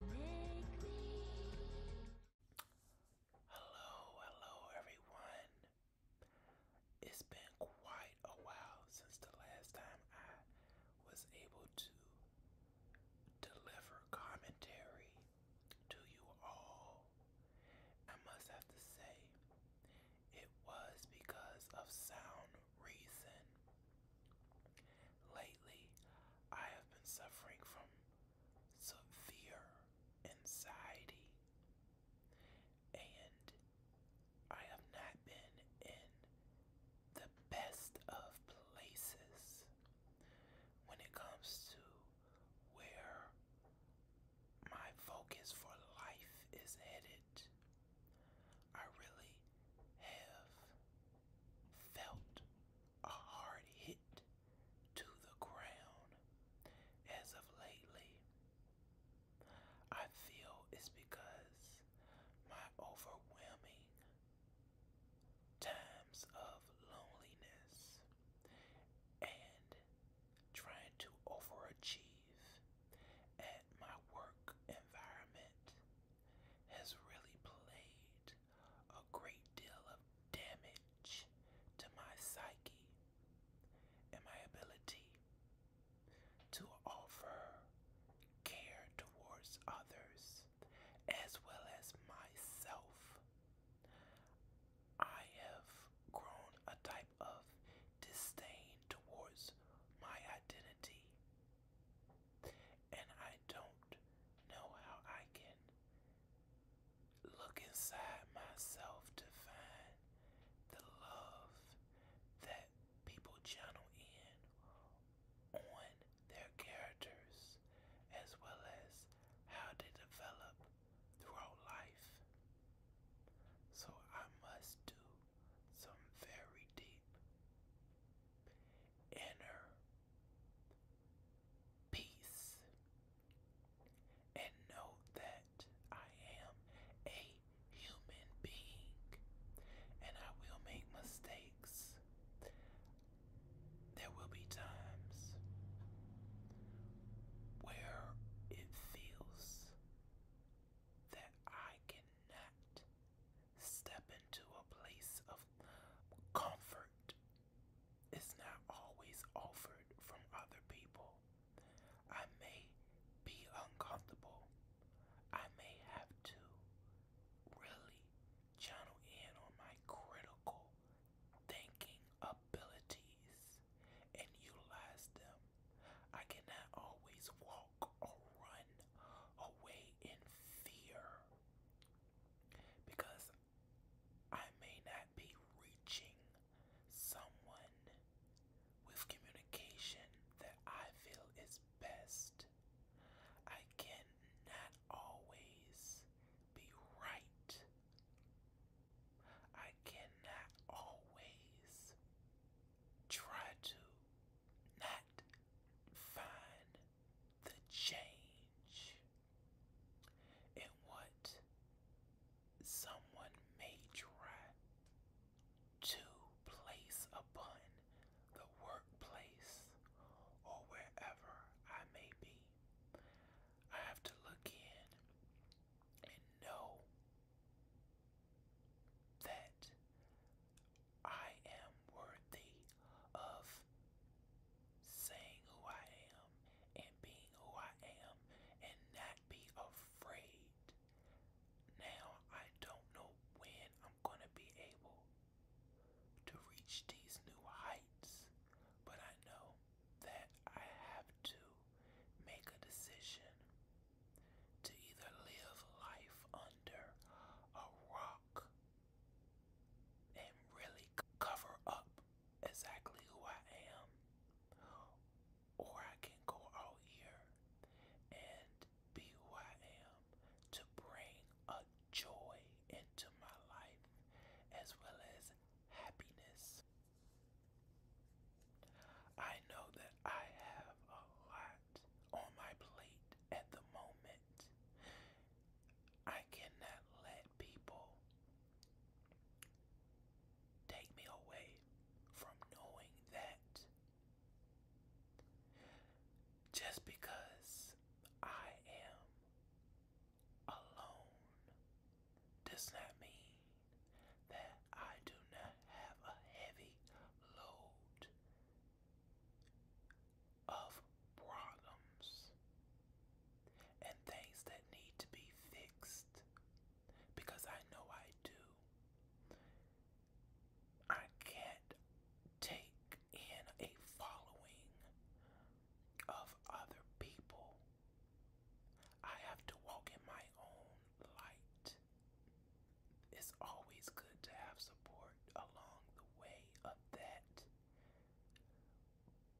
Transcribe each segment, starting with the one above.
Hello, hello everyone. It's been quite a while since the last time I was able to deliver commentary to you all. I must have to say, it was because of sound reason. Lately, I have been suffering from severe anxiety, and I have not been in the best of places when it comes to where my focus for life is headed. I really have felt a hard hit to the ground. As of lately, I feel it's because my overwhelming times of loneliness and trying to overachieve at my work environment has really played a great deal of damage to my psyche and my ability to offer care towards others as well as myself. I have grown a type of disdain towards my identity and I don't know how I can look inside myself to find the love that people channel in on their characters as well as how they develop throughout life. So I must do some very deep inner peace. And know that I am a human being and I will make mistakes. There will be times where it feels that I cannot step into a place of comfort is not always offered from other people. I may be uncomfortable. I may have to really channel in on my critical thinking abilities and utilize them. I cannot always walk or run away in fear because I may not be reaching someone with communication that I feel is best. I cannot always be right. I cannot always try to not find the change in what someone may try to place upon the workplace or wherever I may be. I have to look in and know that I am worthy of saying who I am and being who I am and not be afraid. Now, I don't know when I'm going to be able to reach these new heights, but I know that I have to make a decision to either live life under a rock and really cover up exactly who I am, or I can go out here and be who I am to bring a joy into my life as well as happiness. I know that I have a lot on my plate at the moment. I cannot let people take me away from knowing that just because I am alone does not mean that I do not have a heavy load of problems and things that need to be fixed because I know I do. I can't take in a following of other people. I have to walk in my own light. It's always good to have support along the way of that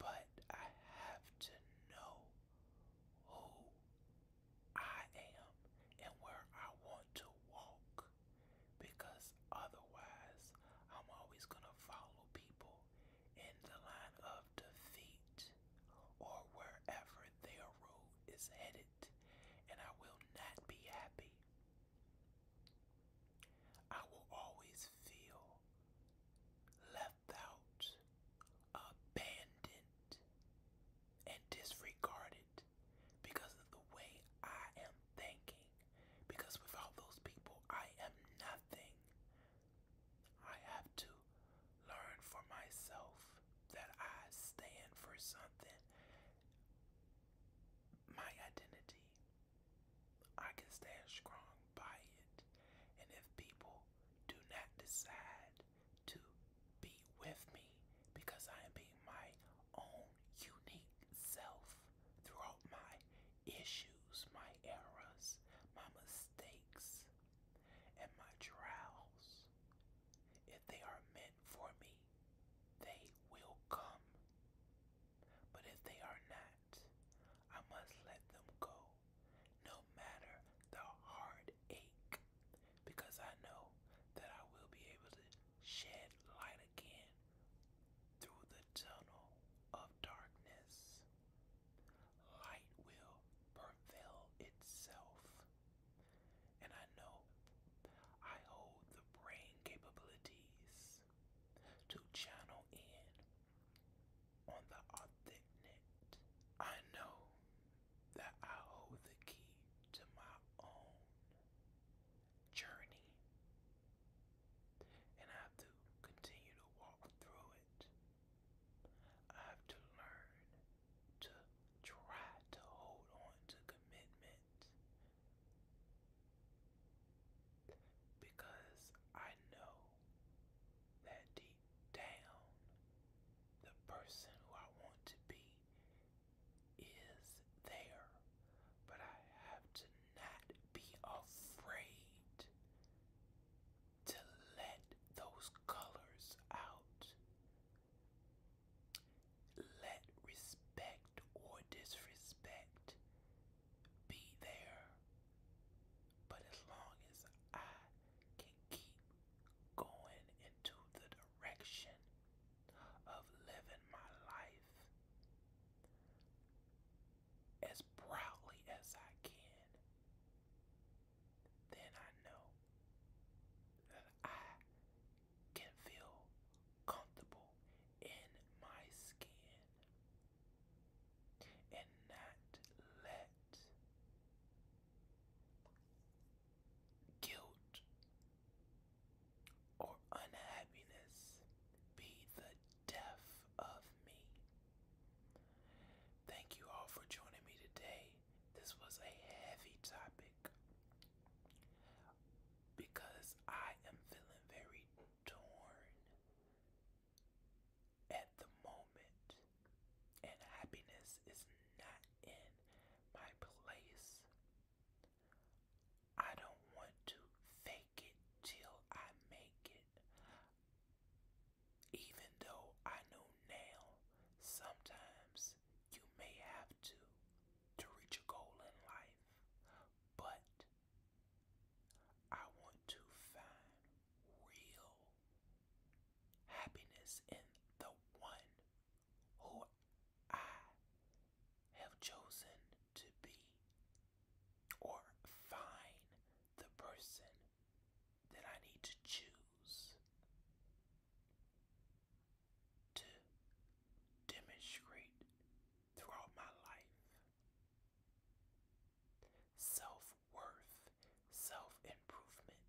but I have to know who I am and where I want to walk because otherwise I'm always going to follow people in the line of defeat or wherever their road is headed and I will not be happy I will always feel left out, abandoned, and disregarded because of the way I am thinking. Because without those people, I am nothing. I have to learn for myself that I stand for something. My identity I can stand strong by it. And if people do not decide to be with me because I am being my own unique self throughout my issues, my errors, my mistakes, and my trials, if they are meant for me, they will come. But if they are not, I must let them go, no matter the heartache, because I know that I will be able to shed light again through the tunnel of darkness. Light will prevail itself. And I know I hold the brain capabilities to channel in on the authentic. I know that I hold the key to my own journey, and I have to continue to walk through it. I have to learn to try to hold on to commitment because I know that deep down, the person who I want to be is there, but I have to not be afraid to let those colors out. Let respect or disrespect be there. But as long as I can keep going into the direction of living my life as proudly as I can, then I know that I can feel comfortable in my skin and not let guilt or unhappiness be the death of me. Thank you all for joining me today. This was a heavy topic because I am feeling very torn at the moment, and happiness is not in my place. I don't want to fake it till I make it. Even though I know now, sometimes you may have to to reach a goal in life, but I want to find real happiness in the one who I have chosen to be, or find the person that I need to choose to demonstrate throughout my life Self worth, self improvement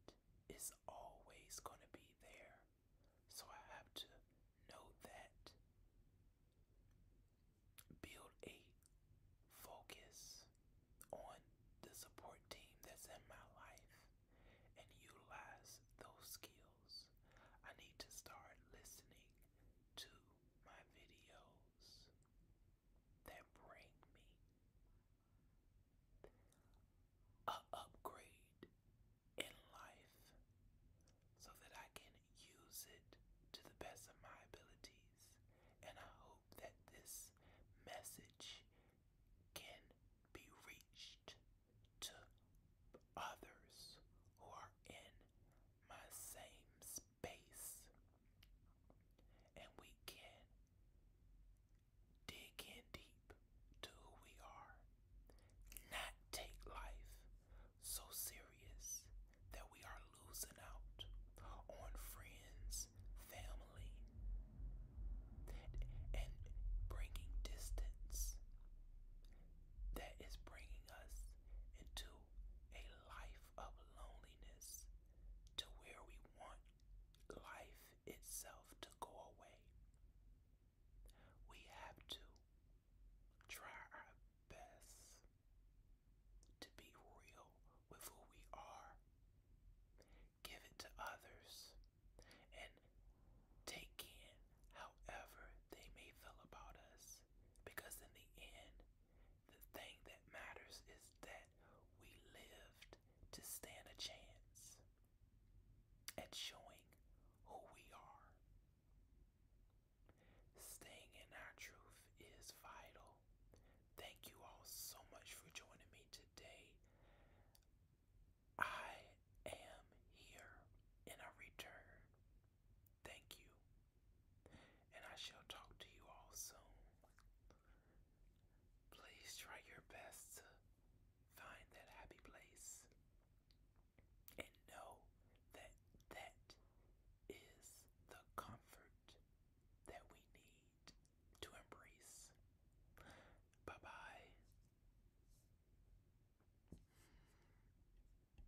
is always going to be there. So I have to know that. Build a focus on the support team that's in my life and utilize those skills. I need to start listening to my videos that bring me a upgrade in life so that I can use it to the best of my abilities and I hope that this message can be reached others who are in my same space. And we can dig in deep to who we are, not take life so serious that we are losing out on friends, family, and bringing distance that is bringing us into a life of loneliness to where we want life itself to go away. We have to try our best to be real with who we are, give it to others, and take in however they may feel about us because in the end, the thing that matters is that we lived to stand a chance at showing who we are. Staying in our truth is vital. Thank you all so much for joining me today. I am here and I return Thank you, and I shall talk to you all soon. Please try your best to find that happy place and know that that is the comfort that we need to embrace. Bye bye.